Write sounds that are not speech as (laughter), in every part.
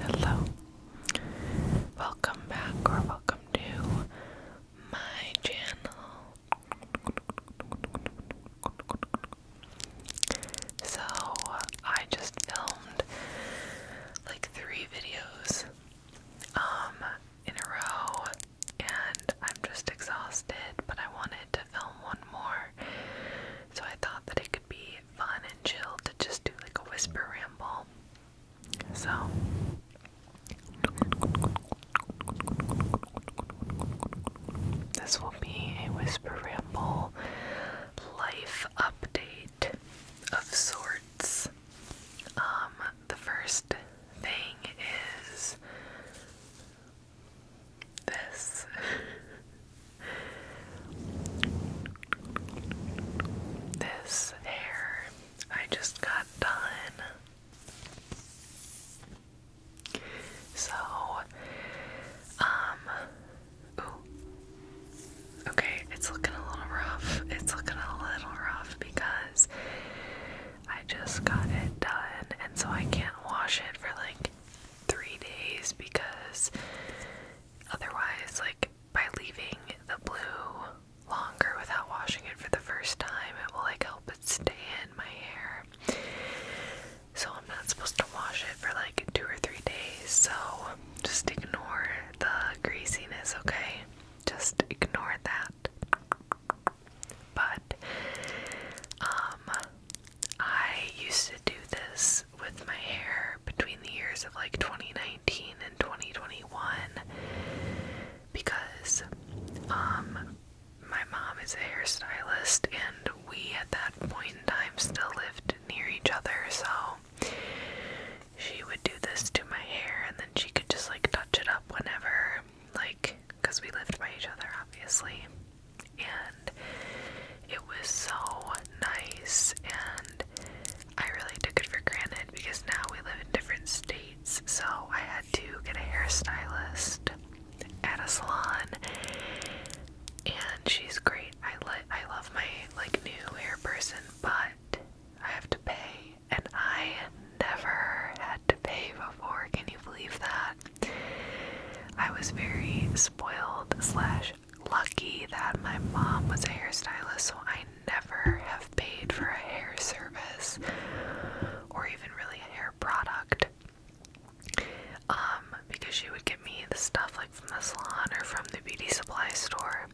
Hello, welcome back or welcome to my channel. So, I just filmed like three videos. Um, in a row and I'm just exhausted, but I wanted to film one more. So I thought that it could be fun and chill to just do like a whisper ramble. So this will be a whisper ramble life update of sorts. Um, the first thing is this. (laughs) this hair I just got done. So, um, Okay, it's looking a little rough. It's looking a little rough because I just got it done, and so I can't wash it for like three days because otherwise, like by leaving the blue longer without washing it for the first time, it will like help it stay in my hair. So I'm not supposed to wash it for like two or three days, so just ignore the greasiness, okay? just ignore that. But um I used to do this with my hair between the years of like 2019 and 2021 because um my mom is a hairstylist and we at that point in time still lived near each other so she would do this to my hair and then she could just like touch it up whenever, like, because we lived by each other, obviously. And it was so nice, and I really took it for granted because now we live in different states, so I had to get a hairstylist at a salon. And she's great. I li I love my like new hair person, but I have to pay and I never had to pay before. Can you believe that? I was very spoiled slash lucky that my mom was a hairstylist, so I never have paid for a hair service or even really a hair product. Um, because she would get me the stuff like from the salon or from the beauty supply store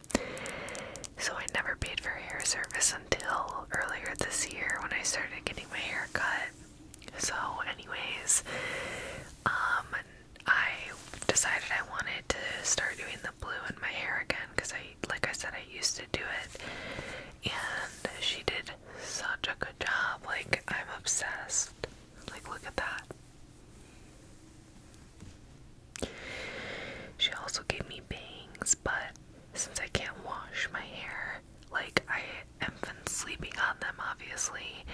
so I never paid for hair service until earlier this year when I started getting my hair cut. So, anyways, um, I decided I wanted to start doing the blue in my hair again because I, like I said, I used to do it, and she did such a good job. Like, I'm obsessed. Like, look at that. She also gave me bangs, but since I can't wash my hair, like I have been sleeping on them obviously,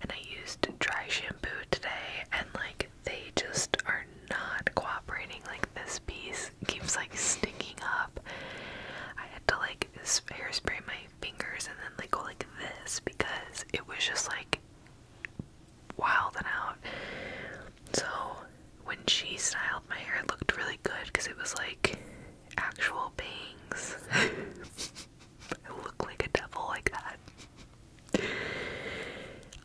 and I used dry shampoo today, and like they just are not cooperating. Like this piece keeps like sticking up. I had to like hairspray my fingers and then like go like this because it was just like wilding out. So when she styled my hair, it looked really good because it was like actual bangs. (laughs) I look like a devil like that.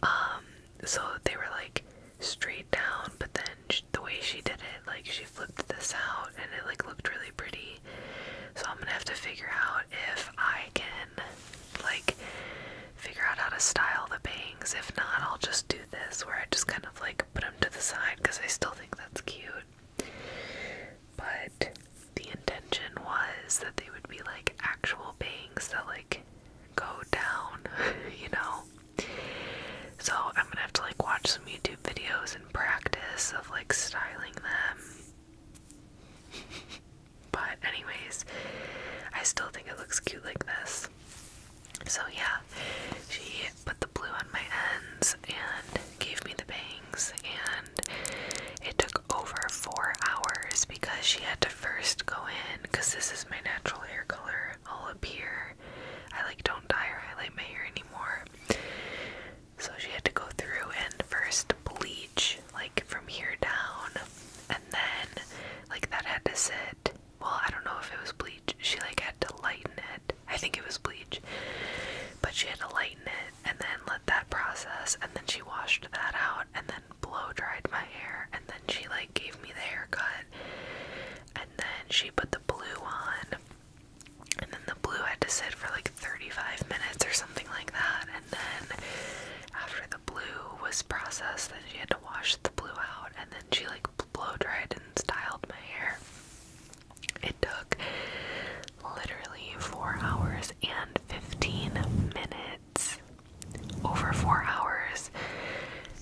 Um, so they were like straight down, but then the way she did it, like she flipped this out and it like looked really pretty. So I'm gonna have to figure out if I can like figure out how to style the bangs. If not, I'll just do this where I just kind of like put them to the side because I still think that's cute. But the intention was that they would be like actual bangs that like go down, (laughs) you know? So I'm gonna have to like watch some YouTube videos and practice of like styling them. (laughs) but, anyways, I still think it looks cute like this. So yeah, she put the blue on my ends and gave me the bangs and it took over four hours because she had to first go in because this is my natural hair color all up here. I like don't dye or highlight my hair anymore. So she had to go through and first bleach like from here down and then like that had to sit well, I don't know if it was bleach. She like had to lighten it. I think it was bleach. But she had to lighten it and then let that process and then she washed that out and then blow dried my hair and then she like gave me the haircut and then she put the blue on and then the blue had to sit for like 35 minutes or something like that and then after the blue was processed then she had to wash the blue out and then she like blow dried and styled my hair. It took literally four hours and 15 minutes. Over four hours.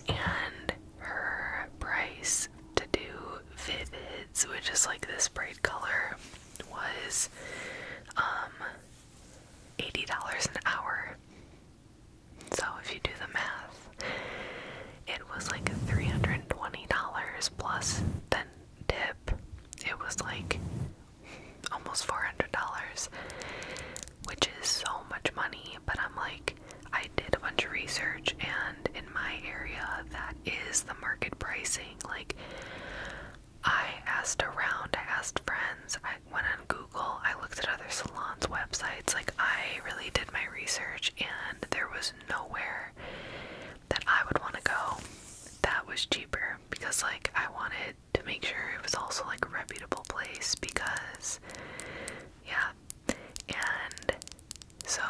And her price to do vivids, which is like this bright color, was um $80 an hour. So if you do the math, it was like $320 plus then tip. It was like almost $400, which is so much money, but I'm like, I did a bunch of research, and in my area, that is the market pricing. Like, I asked around, I asked friends, I went on Google, I looked at other salons' websites. Like, I really did my research, and there was nowhere that I would want to go that was cheaper because, like, I wanted to make sure it was also like a reputable place because, yeah. And so,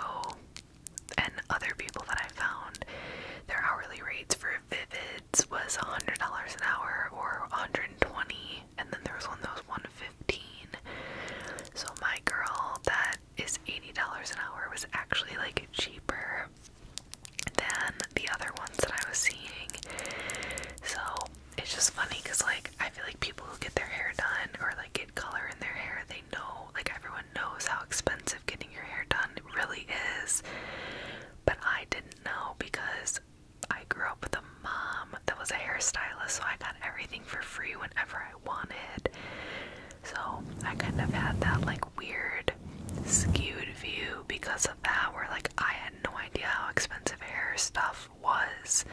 and other people that I found, their hourly rates for Vivids was $100 an hour or $120 and then there was one that was 115 so my girl that is $80 an hour was actually like cheaper than the other ones that I was seeing so it's just funny because like I feel like people who get their hair done or like get color in their hair they know like everyone knows how expensive getting your hair done really is but I didn't know because I grew up with a mom that was a hairstylist, so I got everything for free whenever I wanted. So I kind of had that like weird skewed view because of that, where like I had no idea how expensive hair stuff was.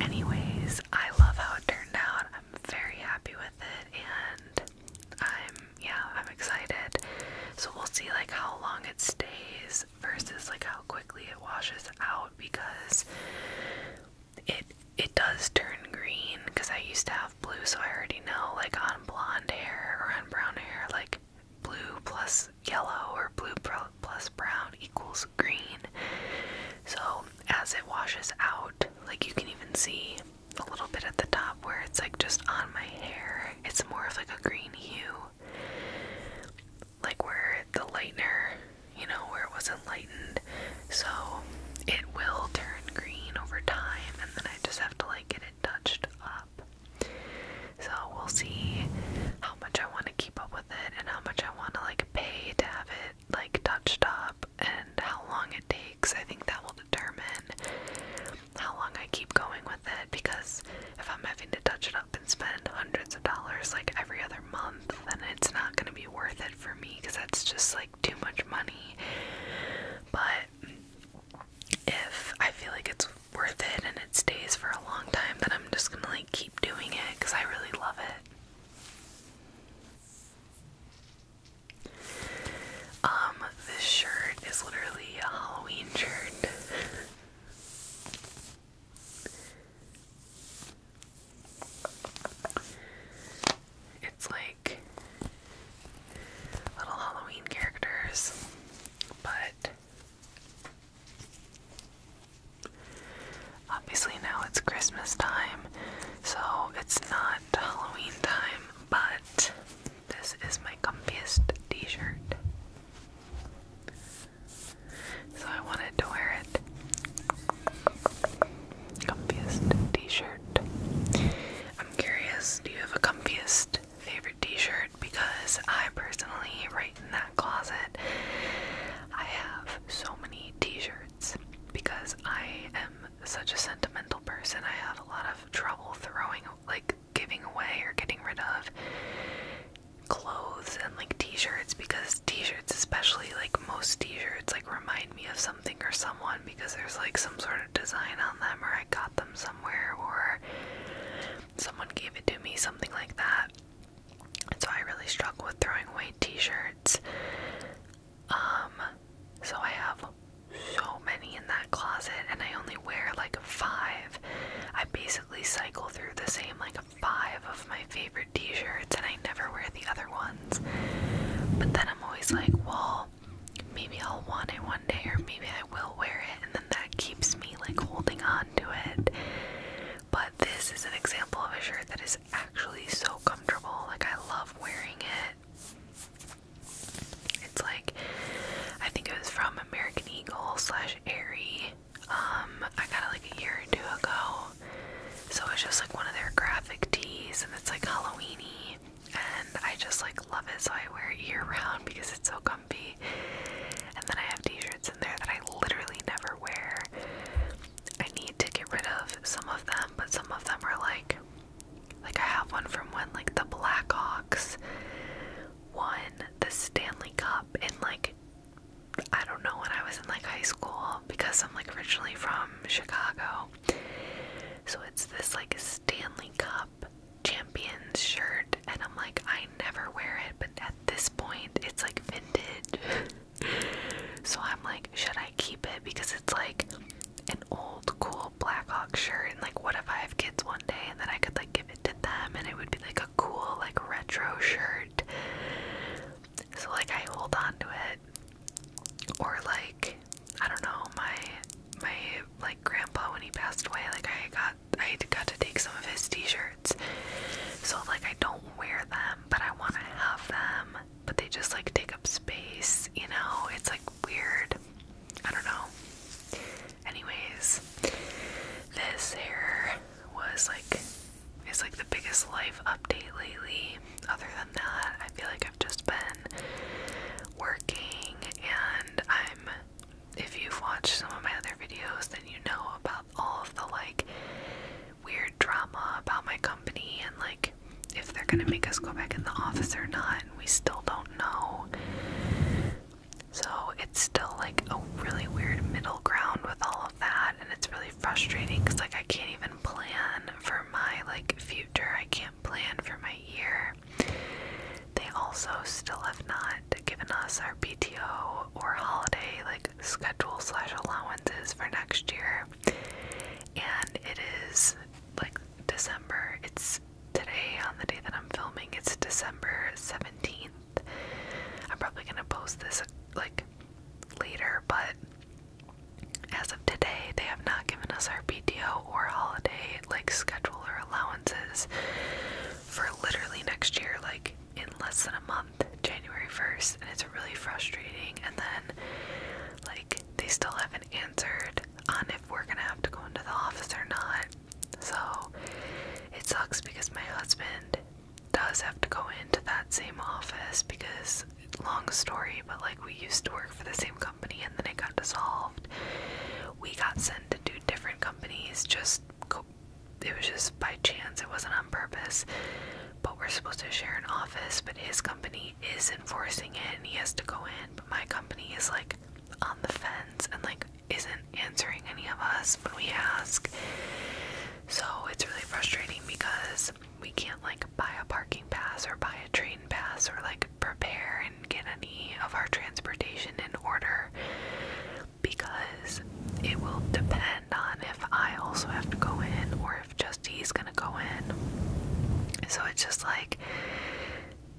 Anyways, I love how it turned out. I'm very happy with it and I'm yeah, I'm excited. So we'll see like how long it stays versus like how quickly it washes out because it it does turn green because I used to have blue so I already know like on blonde hair or on brown hair like blue plus yellow or blue plus brown equals green. So as it washes out, like you can even see a little bit at the top where it's like just on my hair. It's more of like a green hue like where the lightener, you know, where it wasn't lightened. So it will turn green over time, and then I just have to like get it touched up. So we'll see how much I want to keep up with it and how much I want to like pay to have it like touched up and how long it takes. I think that will determine how long I keep going with it because if I'm having to touch it up and spend hundreds of dollars like every other month, then it's not going to be worth it for me because that's just like too much money. But if I feel like it's worth it and it stays for a long time, then I'm just going to like keep doing it because I really love it. Um, this shirt is literally a Halloween shirt. It's like little Halloween characters, but obviously now it's Christmas time, so it's not Halloween time, but this is my comfiest t shirt. So I wanted to wear it. Comfiest t shirt. I'm curious, do you have a comfiest favorite t shirt? Because I personally, right in that closet, I have so many t shirts because I am such a sentimental person. I have a lot of trouble throwing, like, giving away or getting rid of clothes and like t-shirts because t-shirts especially like most t-shirts like remind me of something or someone because there's like some sort of design on them or I got them somewhere or someone gave it to me something like that and so I really struggle with throwing away t-shirts um so I have so many in that closet and I only wear like five I basically cycle through the same like five of my favorite t shirts and I never wear the other ones. But then I'm always like, well, maybe I'll want it one day or maybe I will wear it. And then that keeps me like holding on to it. But this is an example of a shirt that is actually so comfortable. Like, I love wearing it. It's like, I think it was from American Eagle slash Aerie, um, I got like a year or two ago. So it's just like one of their graphic tees and it's like Halloweeny and I just like love it so I wear it year round because it's so comfy. And then I have t-shirts in there that I literally never wear. I need to get rid of some of them, but some of them are like like I have one from when like the Blackhawks won the Stanley Cup in like I don't know when I was in like high school because I'm like originally from Chicago. So it's this like Stanley Cup champions shirt and I'm like I never wear it but at this point it's like vintage. (laughs) so I'm like should I keep it because it's like an old cool Black Hawk shirt and like what if I have kids one day and then I could like give it to them and it would be like cool like retro shirt. So like I hold on to it. Or like I don't know, my my like grandpa when he passed away, like I got I got to take some of his t-shirts. So like I don't wear them, but I want to have them, but they just like take up space, you know? It's like weird. I don't know. Anyways, this hair was like it's like the biggest life update lately. Other than that, I feel like I've just been working and I'm if you've watched some of my other videos then you know about all of the like weird drama about my company and like if they're gonna make us go back in the office or not and we still don't know. So it's still like a really weird middle ground with all of that, and it's really frustrating because like I can't even plan for my like future. I can't plan for my year. They also still have not given us our PTO or holiday like schedule slash allowances for next year, and it is like December. It's today on the day that I'm filming. It's December seventeenth. I'm probably gonna post this like later, but as of today, they have not given us our PTO or holiday like schedule or allowances for literally next year, like in less than a month, January 1st, and it's really frustrating. And then, like, they still haven't answered on if we're gonna have to go into the office or not. So it sucks because my husband does have to go into that same office because long story, but like we used to work for the same company and then it got dissolved. We got sent to do different companies just go it was just by chance, it wasn't on purpose. But we're supposed to share an office, but his company is enforcing it and he has to go in, but my company is like on the fence and like isn't answering any of us when we ask. So it's really frustrating because we can't like buy a parking pass or buy a train pass or like prepare and get any of our transportation in order because it will depend on if I also have to go in or if just he's gonna go in. So it's just like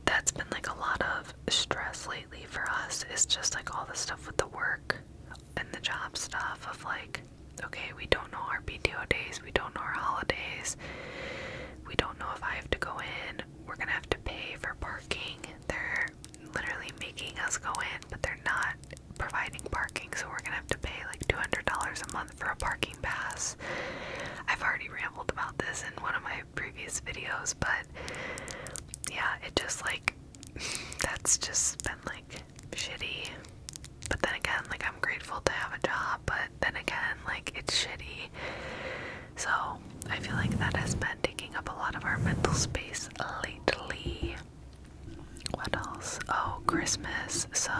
that's been like a lot of stress lately for us. It's just like all the stuff with the work and the job stuff of like, okay, we don't know our PTO days, we don't know our holidays, we don't know if I have to go in, we're gonna have to pay for parking. They're literally making us go in, but they're not providing parking, so we're gonna have to pay like $200 a month for a parking pass. I've already rambled about this in one of my previous videos, but yeah, it just like that's just been like shitty. But then again, like I'm grateful to have a job, but then again, like it's shitty. So I feel like that has been taking up a lot of our mental space lately. What else? Oh, Christmas. So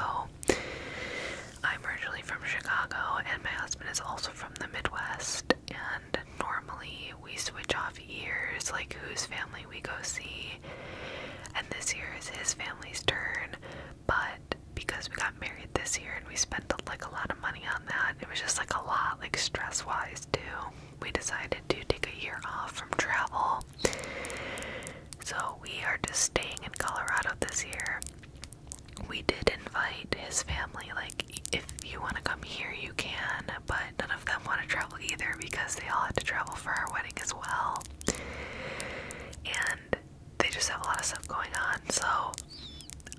I'm originally from Chicago, and my husband is also from the Midwest. And normally we switch off years, like whose family we go see. And this year is his family's turn, but because we got married this year and we spent like a lot of money on that, it was just like a lot, like stress wise, too. We decided to take a year off from travel. So we are just staying in Colorado this year. We did invite his family, like, if you want to come here, you can, but none of them want to travel either because they all had to travel for our wedding as well. And they just have a lot of stuff going on. So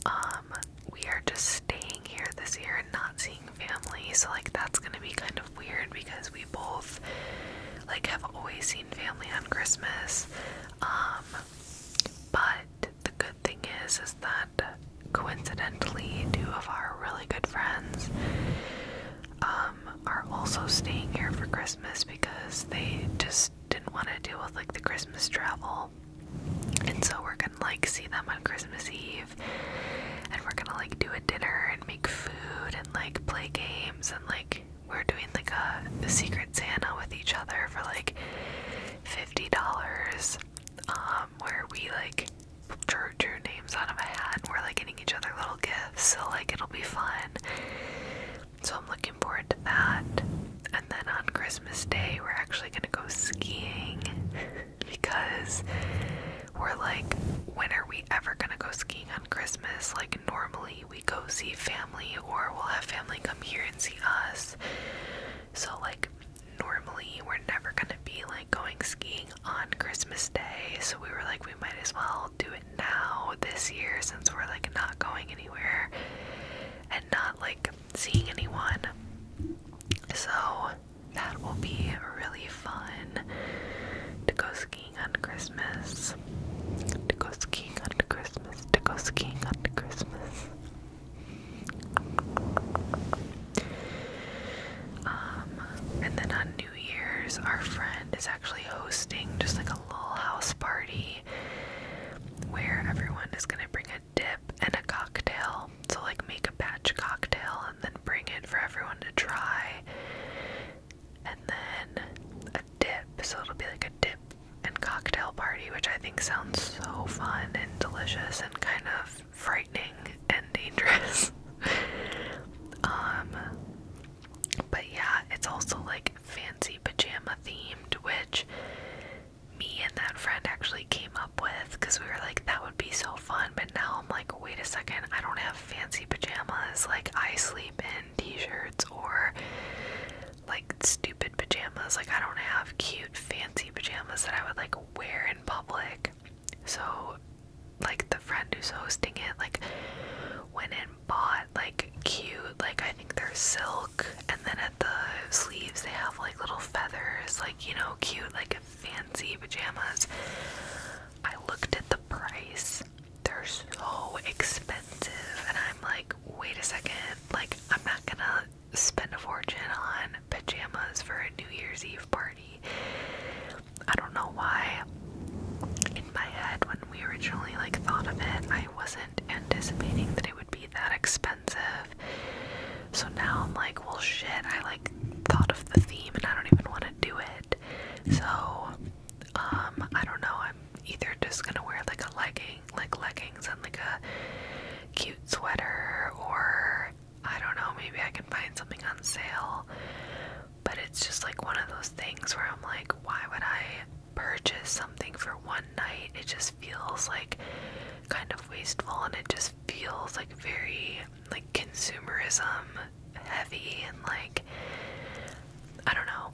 um, we are just staying here this year and not seeing family. So like that's going to be kind of weird because we both like have always seen family on Christmas. Um, but the good thing is is that coincidentally, two of our really good friends um, are also staying here for Christmas because they just didn't want to deal with like the Christmas travel. And so we're gonna like see them on Christmas Eve and we're gonna like do a dinner and make food and like play games and like we're doing like a, secret Santa with each other for like $50 um where we like drew, drew names out of a hat and we're like getting each other little gifts so like it'll be fun so i'm looking forward to that and then on christmas day we're actually gonna go skiing because we're like when are we ever gonna go skiing on christmas like normally we go see family or we'll have family come here and see us so like normally we're never gonna be like going skiing on Christmas Day, so we were like, we might as well do it now this year since we're like not going anywhere and not like seeing anyone. So that will be really fun to go skiing on Christmas. To go skiing on Christmas. To go skiing on Christmas. Um, and then on New Year's, our friend is actually hosting just like a little house party where everyone is gonna bring a dip and a cocktail. So, like, make a batch cocktail and then bring it for everyone to try. And then a dip. So, it'll be like a dip and cocktail party, which I think sounds so fun and delicious and kind of frightening and dangerous. (laughs) Um, but yeah, it's also like fancy pajama themed, which me and that friend actually came up with because we were like, that would be so fun. But now I'm like, wait a second, I don't have fancy pajamas. Like, I sleep in t shirts or like stupid pajamas. Like, I don't have cute, fancy pajamas that I would like wear in public. So like the friend who's hosting it like went and bought like cute like I think they're silk and then at the sleeves they have like little feathers like you know cute like fancy pajamas. I looked at the price. They're so expensive and I'm like wait a second like I'm not gonna spend a fortune on pajamas for a New Year's Eve party. I don't know why in my head when we originally like thought of it, I wasn't anticipating that it would be that expensive. So now I'm like, well shit, I like thought of the theme and I don't even want to do it. So um I don't know, I'm either just gonna wear like a legging like leggings and like a cute sweater or I don't know, maybe I can find something on sale. But it's just like one of those things where I'm like, why would I purchase something for one night? It just feels like kind of wasteful and it just feels like very like consumerism heavy and like I don't know.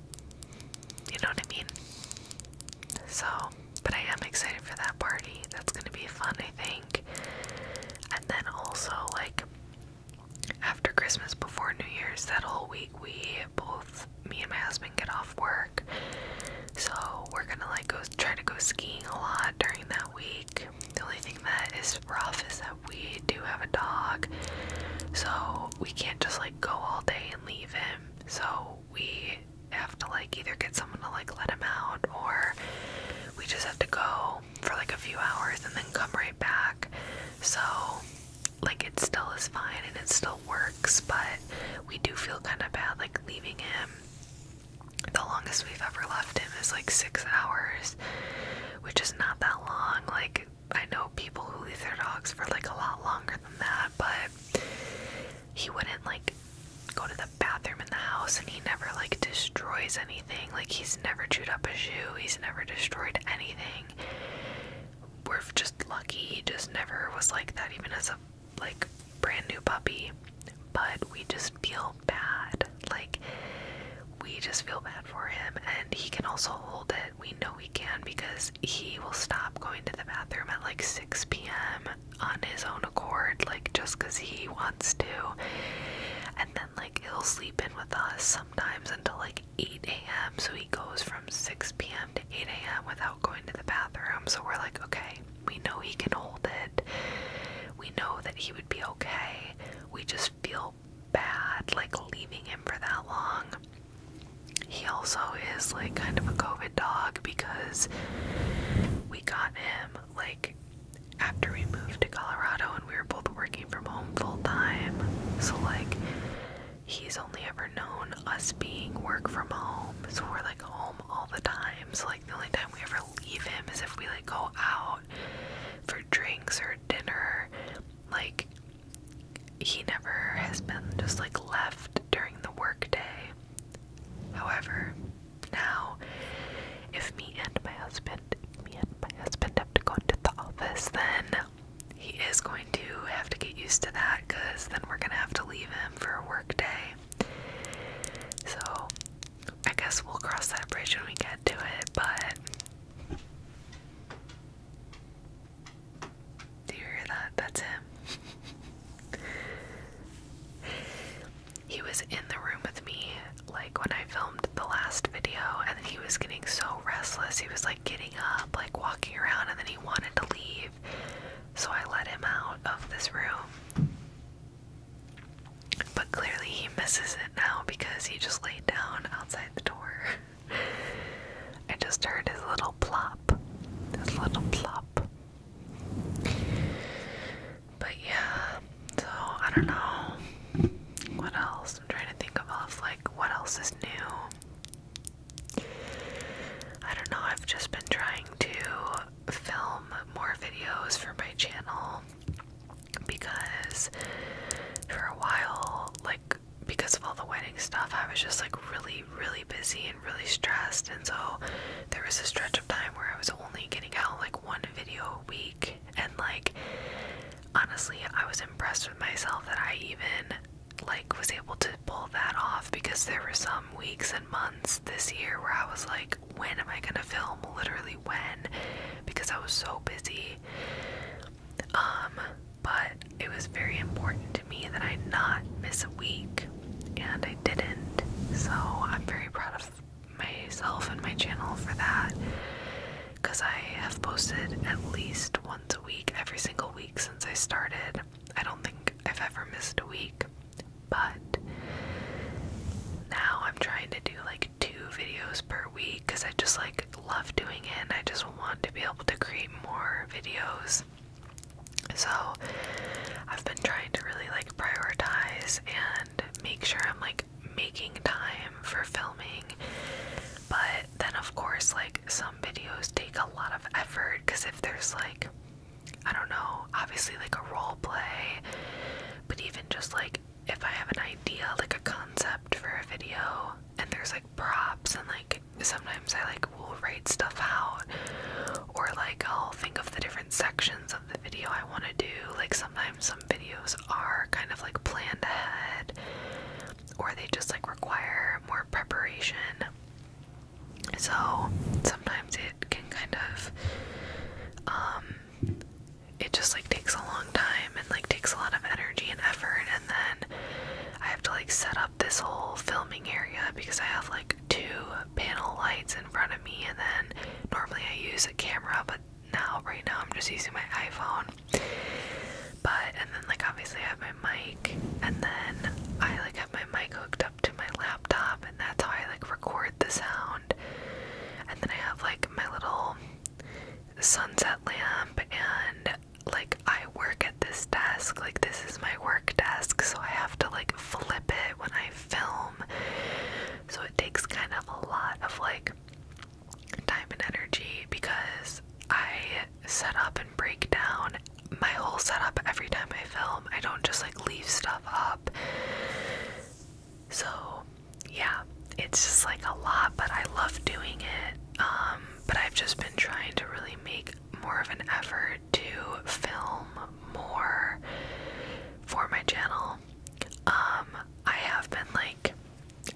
You know what I mean? So, but I am excited for that party. That's going to be fun, I think. And then also like after Christmas, before New Year's, that whole week, we both, me and my husband, get off work. So we're gonna like go try to go skiing a lot during that week. The only thing that is rough is that we do have a dog, so we can't just like go all day and leave him. So we have to like either get someone to like let him out or we just have to go for like a few hours and then come right back. So, like, it still is fine and it still works, but we do feel kind of bad like leaving him. The longest we've ever left him is like six hours, which is not that long. Like, I know people who leave their dogs for like a lot longer than that, but he wouldn't like go to the bathroom in the house and he never like destroys anything. Like he's never chewed up a shoe, he's never destroyed anything. We're just lucky he just never was like that even as a like brand new puppy. But we just feel bad. Like we just feel bad for him and he can also hold it. We know we can because he will stop going to the bathroom at like 6 p.m. on his own accord like just cuz he wants too. And then like he'll sleep in with us sometimes until like 8 a.m. So he goes from 6 p.m. to 8 a.m. without going to the bathroom. So we're like, okay, we know he can hold it. We know that he would be okay. We just feel bad like leaving him for that long. He also is like kind of a COVID dog because we got him like after we moved to Colorado and we were both working from home full time. So like he's only ever known us being work from home. So we're like home all the time. So like the only time we ever leave him is if we like go out for drinks or dinner. Like he never has been just like left during the work day. However, now if me and my husband me and my husband have to go into the office, then he is going to have to get used to that because then we're going to have to leave him for a work day. So I guess we'll cross that bridge when we get to it, but. Do you hear that? That's him. (laughs) he was in the room with me like when I filmed the last video and he was getting so restless. He was like getting up, like walking around, and then he wanted to leave. So I let him out of this room. But clearly he misses it now because he just laid down outside the door. (laughs) I just heard his little plop. His little plop. But yeah, so I don't know. What else? I'm trying to think of like what else is new. I don't know, I've just been trying to film more videos for my channel because for a while, like because of all the wedding stuff, I was just like really, really busy and really stressed. And so there was a stretch of time where I was only getting out like one video a week and like honestly, I was impressed with myself that I even like was able to pull that off because there were some weeks and months this year where I was like, when am I gonna film? Literally when? Because I was so busy. Um, but it was very important to me that I not miss a week and I didn't. So I'm very proud of myself and my channel for that because I have posted at least once a week every single week since I started. I don't think I've ever missed a week, but now I'm trying to do like two videos per week because I just like love doing it and I just want to be able to create more videos. So I've been trying to really like prioritize and make sure I'm like making time for filming. But then, of course, like some videos take a lot of effort because if there's like, I don't know, obviously like a role play, but even just like if I have an idea, like a concept for a video, and there's like props, and like sometimes I like will write stuff out, or like I'll think of the different sections of the video I want to do. Like sometimes some videos are kind of like planned ahead or they just like require more preparation. So sometimes it can kind of um it just like takes a long time and like takes a lot of energy and effort and then I have to like set up this whole filming area because I have like two panel lights in front of me and then normally I use a camera but now right now I'm just using my iPhone but and then like obviously I have my mic and then I like have my mic hooked up to my laptop and that's how I like record the sound and then I have like my little sunset lamp and like I work at this desk like this is my work desk so I have to like flip it when I film so it takes kind of a lot of like time and energy because I set up and break down my whole setup every time I film. I don't just like leave stuff up. So, yeah, it's just like a lot, but I love doing it. Um, but I've just been trying to really make more of an effort to film more for my channel. Um, I have been like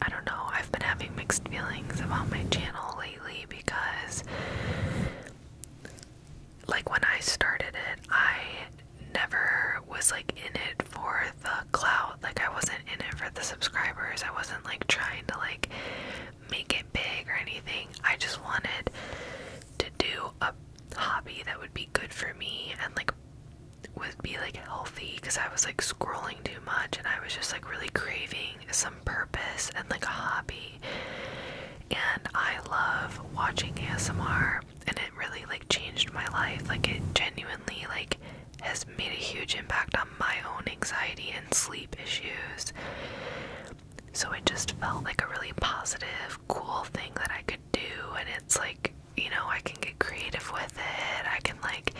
I don't know, I've been having mixed feelings about my channel lately because like when I started it, I never was like in it for the clout. Like I wasn't in it for the subscribers. I wasn't like trying to like make it big or anything. I just wanted to do a hobby that would be good for me and like would be like healthy because I was like scrolling too much and I was just like really craving some purpose and like a hobby. And I love watching ASMR and it really like changed my life. Like it genuinely like has made a huge impact on my own anxiety and sleep issues. So it just felt like a really positive, cool thing that I could do and it's like you know, I can get creative with it. I can, like,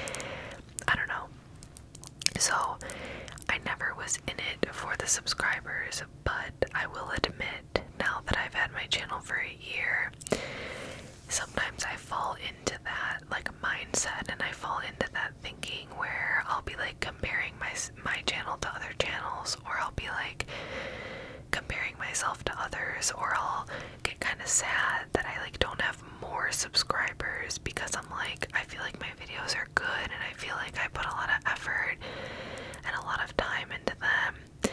I don't know. So, I never was in it for the subscribers, but I will admit, now that I've had my channel for a year, sometimes I fall into that, like, mindset, and I fall into that thinking where I'll be, like, comparing my, my channel to other channels, or I'll be, like, comparing myself to others, or I'll get kind of sad that I like don't have more subscribers because I'm like I feel like my videos are good and I feel like I put a lot of effort and a lot of time into them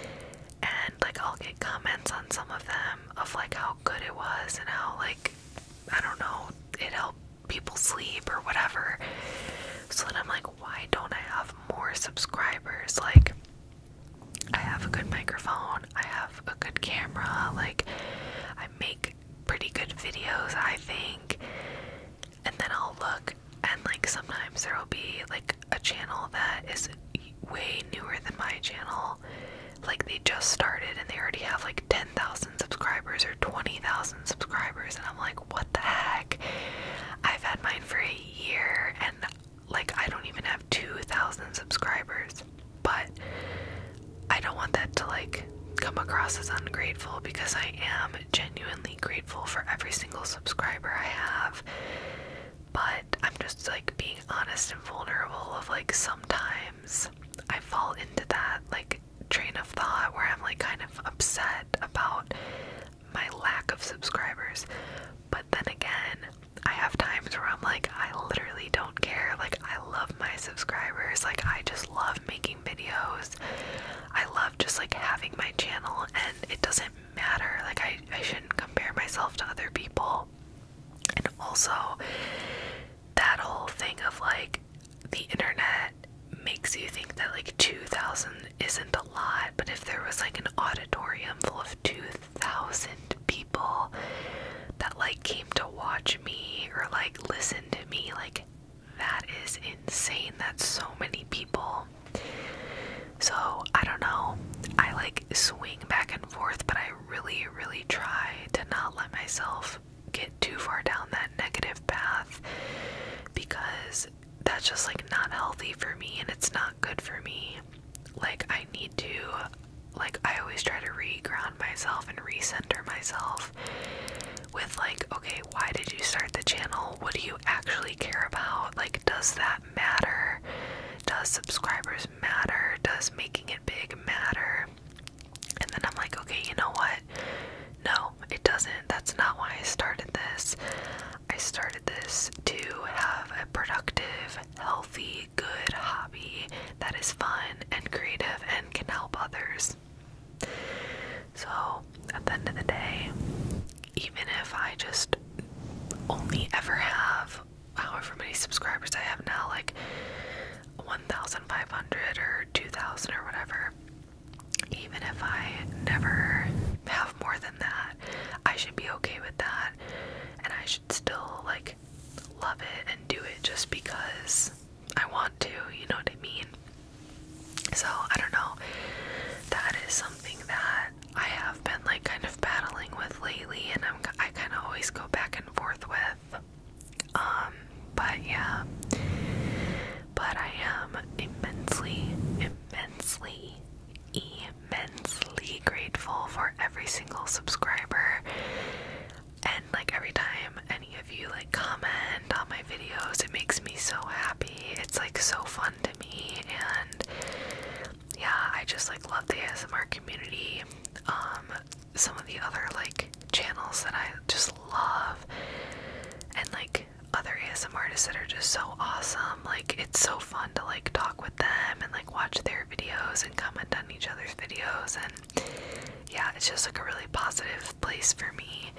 and like I'll get comments on some of them of like how good it was and how like I don't know it helped people sleep or whatever so then I'm like why don't I have more subscribers like I have a good microphone, I have a good camera, like, I make pretty good videos, I think. And then I'll look, and like, sometimes there will be like a channel that is way newer than my channel. Like, they just started and they already have like 10,000 subscribers or 20,000 subscribers, and I'm like, what the heck? I've had mine for a year, and like I don't even have 2,000 subscribers, but I don't want that to like come across as ungrateful because I am genuinely grateful for every single subscriber I have. But I'm just like being honest and vulnerable of like sometimes I fall into that like train of thought where I'm like kind of upset about my lack of subscribers. But then again, I have times where I'm like, I literally don't care. Like, I love my subscribers. Like, I just love making videos. I love just like having my channel, and it doesn't matter. Like, I, I shouldn't compare myself to other people. And also, that whole thing of like the internet makes you think that like 2,000 isn't a lot, but if there was like an auditorium full of 2,000 thousand people that like came to watch me or like listen to me. Like that is insane. That's so many people. So I don't know. I like swing back and forth, but I really, really try to not let myself get too far down that negative path because that's just like not healthy for me and it's not good for me like I need to like I always try to re-ground myself and recenter myself with like, okay, why did you start the channel? What do you actually care about? Like does that matter? Does subscribers matter? Does making it big matter? And then I'm like, okay, you know what? No, it doesn't. That's not why I started this. I started this to have a productive, healthy, good hobby that is fun and creative and can help others. So, at the end of the day, even if I just only ever have however many subscribers I have now, like 1,500 or 2,000 or whatever, even if I never have more than that, I should be okay with that and I should still like love it and do it just because I want to, you know what I mean? So, I don't know. That is something that I have been like kind of battling with lately and I'm I kind of always go back and forth with um, but yeah. But I am immensely immensely immensely immensely grateful for every single subscriber and like every time any of you like comment on my videos it makes me so happy it's like so fun to me and yeah i just like love the asmr community um some of the other like channels that i just love and like other ASMR artists that are just so awesome like it's so fun to like talk with them and like watch their videos and comment on each other's videos and yeah it's just like a really positive place for me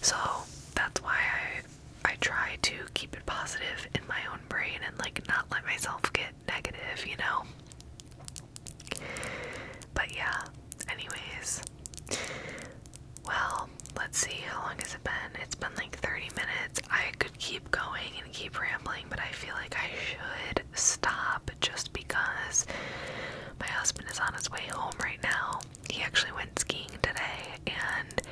so that's why i i try to keep it positive in my own brain and like not let myself get negative you know but yeah anyways well let's see how long has it been it's been like 30 minutes i keep going and keep rambling, but I feel like I should stop just because my husband is on his way home right now. He actually went skiing today, and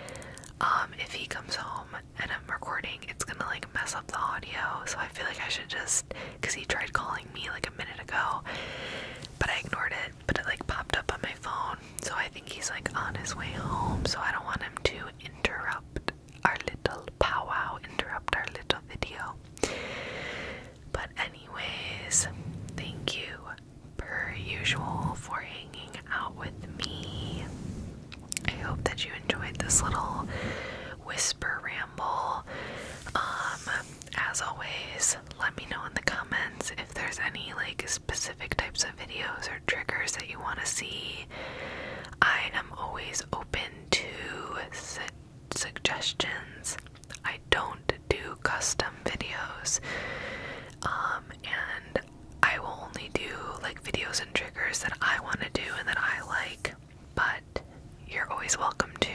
um, if he comes home and I'm recording, it's gonna like mess up the audio. So I feel like I should just, cause he tried calling me like a minute ago, but I ignored it. But it like popped up on my phone, so I think he's like on his way home. So I don't want him to interrupt our little powwow, interrupt our little video. But, anyways, thank you per usual for hanging out with me. I hope that you enjoyed this little whisper ramble. Um, as always, let me know in the comments if there's any like specific types of videos or triggers that you want to see. I am always open to suggestions. I don't do custom videos, um, and I will only do like videos and triggers that I want to do and that I like. But you're always welcome to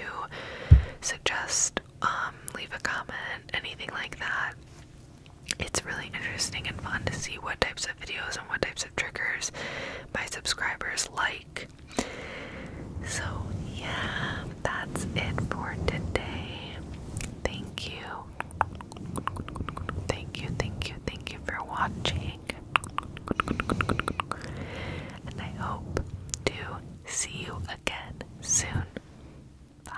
suggest, um, leave a comment, anything like that. It's really interesting and fun to see what types of videos and what types of triggers my subscribers like so, yeah, that's it for today. Thank you. Thank you, thank you, thank you for watching. And I hope to see you again soon. Bye.